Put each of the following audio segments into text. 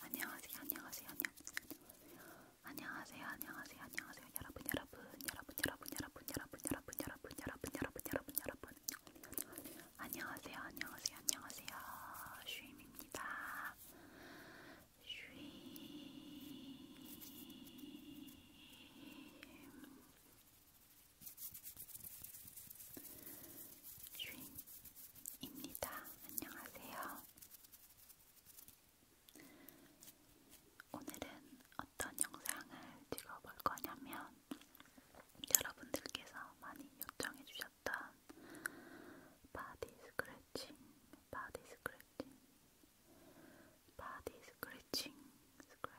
안녕하세요, 안녕하세요, 안녕하세요, 안녕하세요, 안녕하세요, 안녕하세요, 여러분, 여러분, 여러분, 여러분, 여러분, 여러분, 여러분, 여러분, 여러분, 여러분, 여러분, 여러분, 안녕하세요, 안녕하세요, 안녕하세요, 슈임입니다. 슈임. 주인입니다. 안녕하세요. 오늘은 어떤 영상을 찍어볼 거냐면 여러분들께서 많이 요청해주셨던 바디 스크래칭, 바디 스크래칭, 바디 스크래칭, 스크래칭,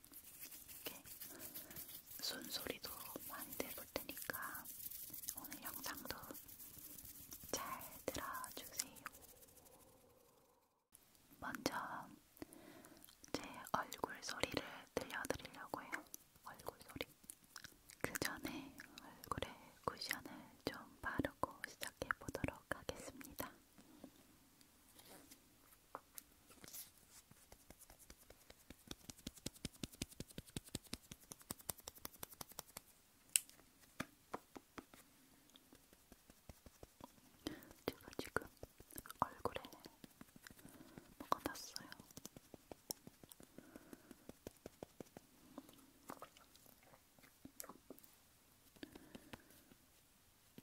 이렇게 손소리도 많이 내볼 테니까 오늘 영상도 잘 들어주세요. 먼저 제 얼굴 소리를 들려드리려고 해요. 얼굴 소리. 그 전에 얼굴에 쿠션을 좀 바르고 시작해 보도록 하겠습니다. 제가 지금 얼굴에 뭐가 났어요.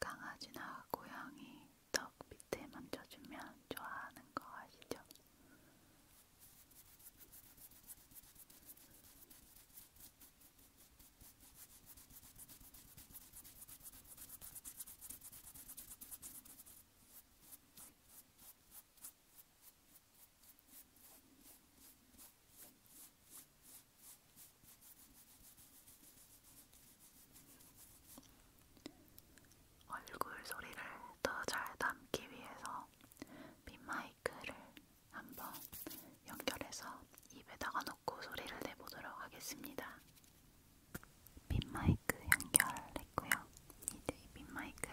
강아지나 고양이 턱 밑에 만져주면 좋아하는 거 아시죠? 얼굴 소리를 더 잘 담기 위해서 빈마이크를 한번 연결해서 입에다가 넣고 소리를 내보도록 하겠습니다. 빈마이크 연결했고요. 이제 이 빈마이크를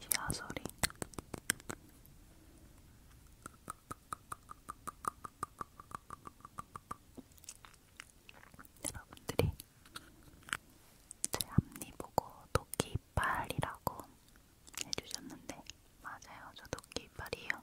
지하 소리. 여러분들이 제 앞니 보고 도끼 이빨이라고 해주셨는데 맞아요, 저 도끼 이빨이에요.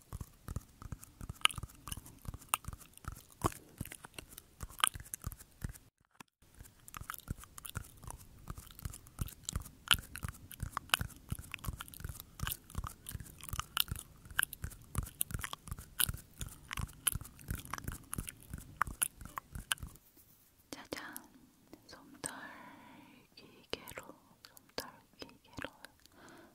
짜잔, 솜털 기계로, 솜털 기계로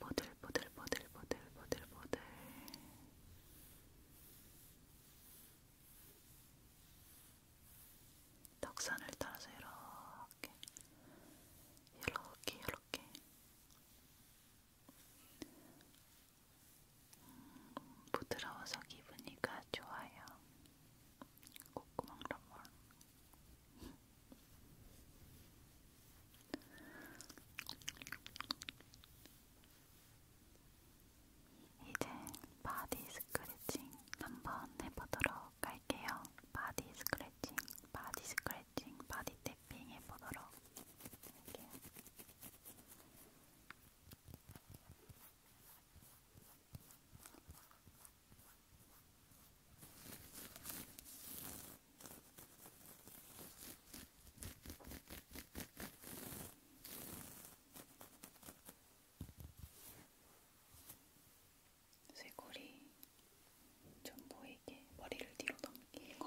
보들보들보들보들보들보들 덕산을 따라서 이렇게 이렇게 이렇게 음, 부드러워서 기분이가 좋아요. 콧구멍 럼멀 이제 바디 스크래칭 한번 해보도록 할게요. 바디 스크래칭, 바디 스크래칭, 바디 탭핑 해보도록 할게요. 쇄골이 좀 보이게 머리를 뒤로 넘기고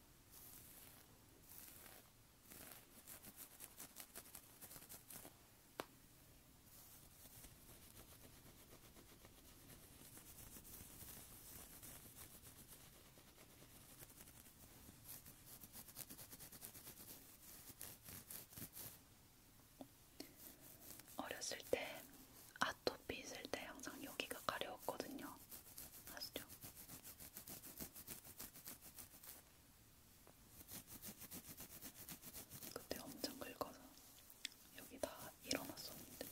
어렸을 때 아토피 있을 때 항상 여기가 가려웠거든요. 아시죠? 그때 엄청 긁어서 여기 다 일어났었는데.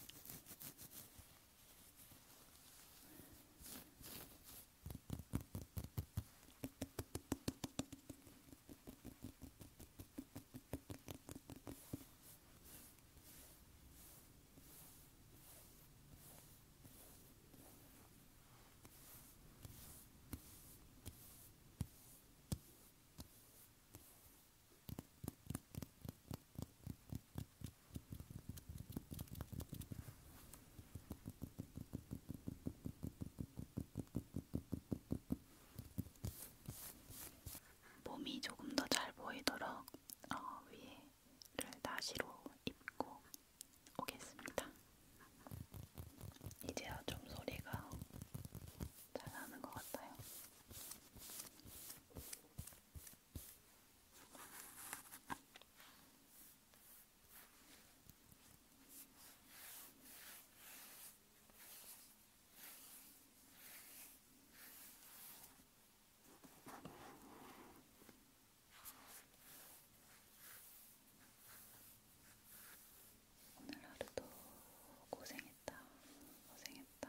몸이 조금 더 잘 보이도록 어, 위에 나시로 입고 오겠습니다. 이제야 좀 소리가 잘 나는 것 같아요. 오늘 하루도 고생했다. 고생했다.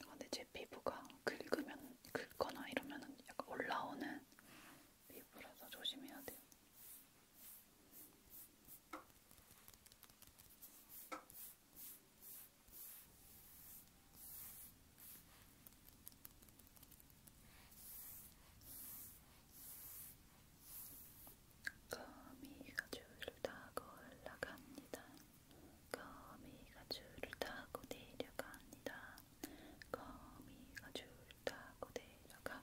아, 근데 제 피부가 긁으면 긁거나 이러면은 약간 올라오는 피부라서 조심해야 돼요. 거미가 줄을 타고 올라갑니다. 거미가 줄을 타고 내려갑니다. 거미가 줄을 타고 내려갑니다.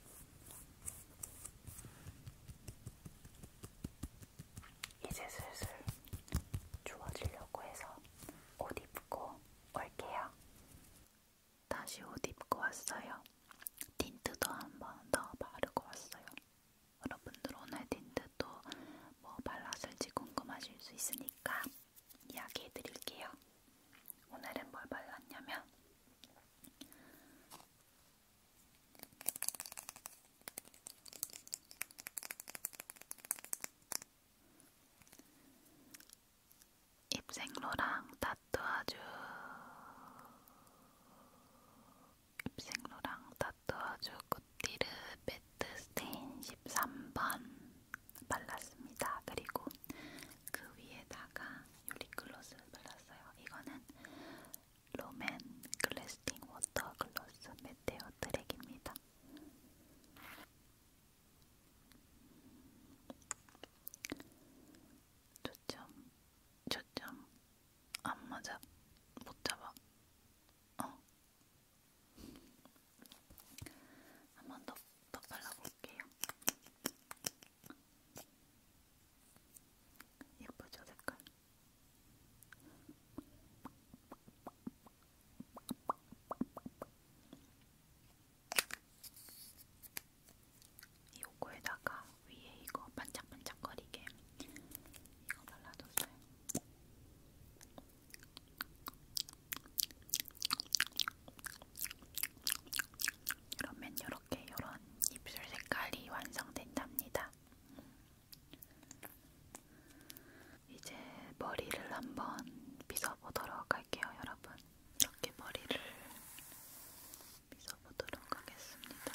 이제 슬슬 주워지려고 해서 옷 입고 올게요. 다시 옷 입고 왔어요. 틴트도 한 번 더 바르고 왔어요. 여러분들 오늘 틴트도 뭐 발랐을지 궁금하실 수 있으니까 이야기해 드릴게요. 오늘은 뭘 발랐냐면 입생로랑 따뜻아주 입생로랑 따뜻아주 꽃띠르 매트 스테인 13번 발랐습니다. 그리고 그 위에다가 요 립글로스 발랐어요. 이거는 롬앤 글래스팅 워터 글로스 메테오 드랙입니다. 초점, 초점 안 맞아, 못 잡아. 어. 한번더더 발라볼게요. 예쁘죠 색깔? 요거에다가 위에 이거 반짝반짝거리게 이거 발라뒀어요. 이러면 이렇게 이런 입술 색깔이 완성된답니다. 이제 머리를 한번 빗어보도록 할게요, 여러분. 이렇게 머리를 빗어보도록 하겠습니다.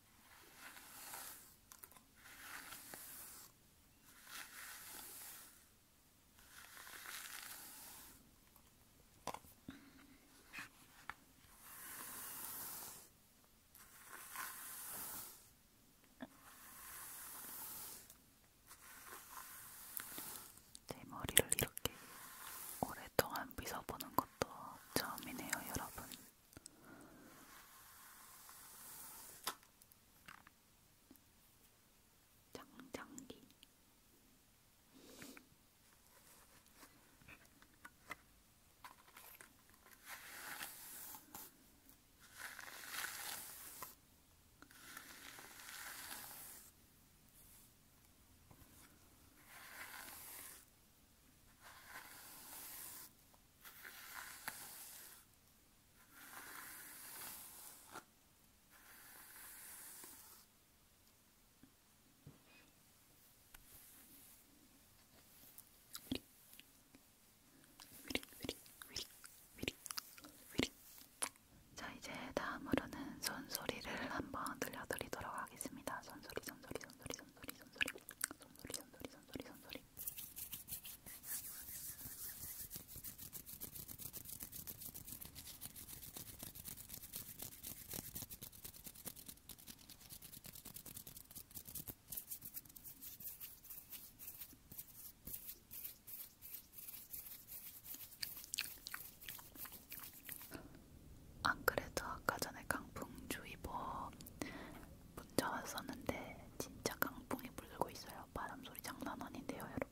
제 머리를 이렇게 오랫동안 빗어보는 것도 처음이네요, 여러분. 장장기 자 이제 다음으로는 손소리를 한번 들려드리도록 하겠습니다. 손소리, 손소리, 손소리, 손소리, 손소리, 손소리, 손소리, 손소리, 손소리, 안 그래도 아까 전에 강풍주의보 문자 왔었는데 진짜 강풍이 불고 있어요. 바람 소리 장난 아닌데요, 여러분.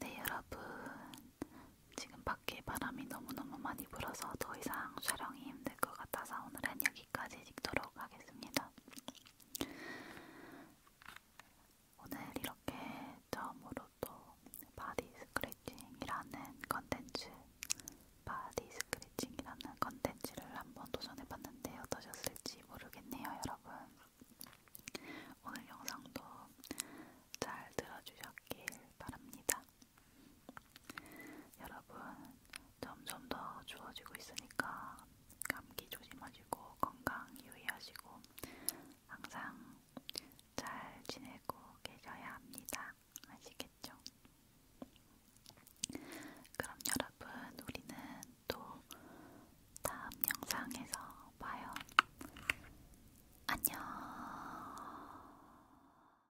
네, 여러분. 지금 밖에 바람이 너무너무 많이 불어서 더 이상 촬영이 힘들 것 같아서 오늘은 여기까지 찍도록 하겠습니다. 오늘 이렇게 처음으로 또 바디 스크래칭이라는 컨텐츠, 바디 스크래칭이라는 컨텐츠를 한번 도전해봤는데 어떠셨을지 모르겠네요, 여러분. 오늘 영상도 잘 들어주셨길 바랍니다. 여러분, 점점 더 추워지고 있으니까 감기 조심하시고 건강 유의하시고 항상 잘 지내고 계셔야 합니다. 아시겠죠? 그럼 여러분, 우리는 또 다음 영상에서 봐요. 안녕!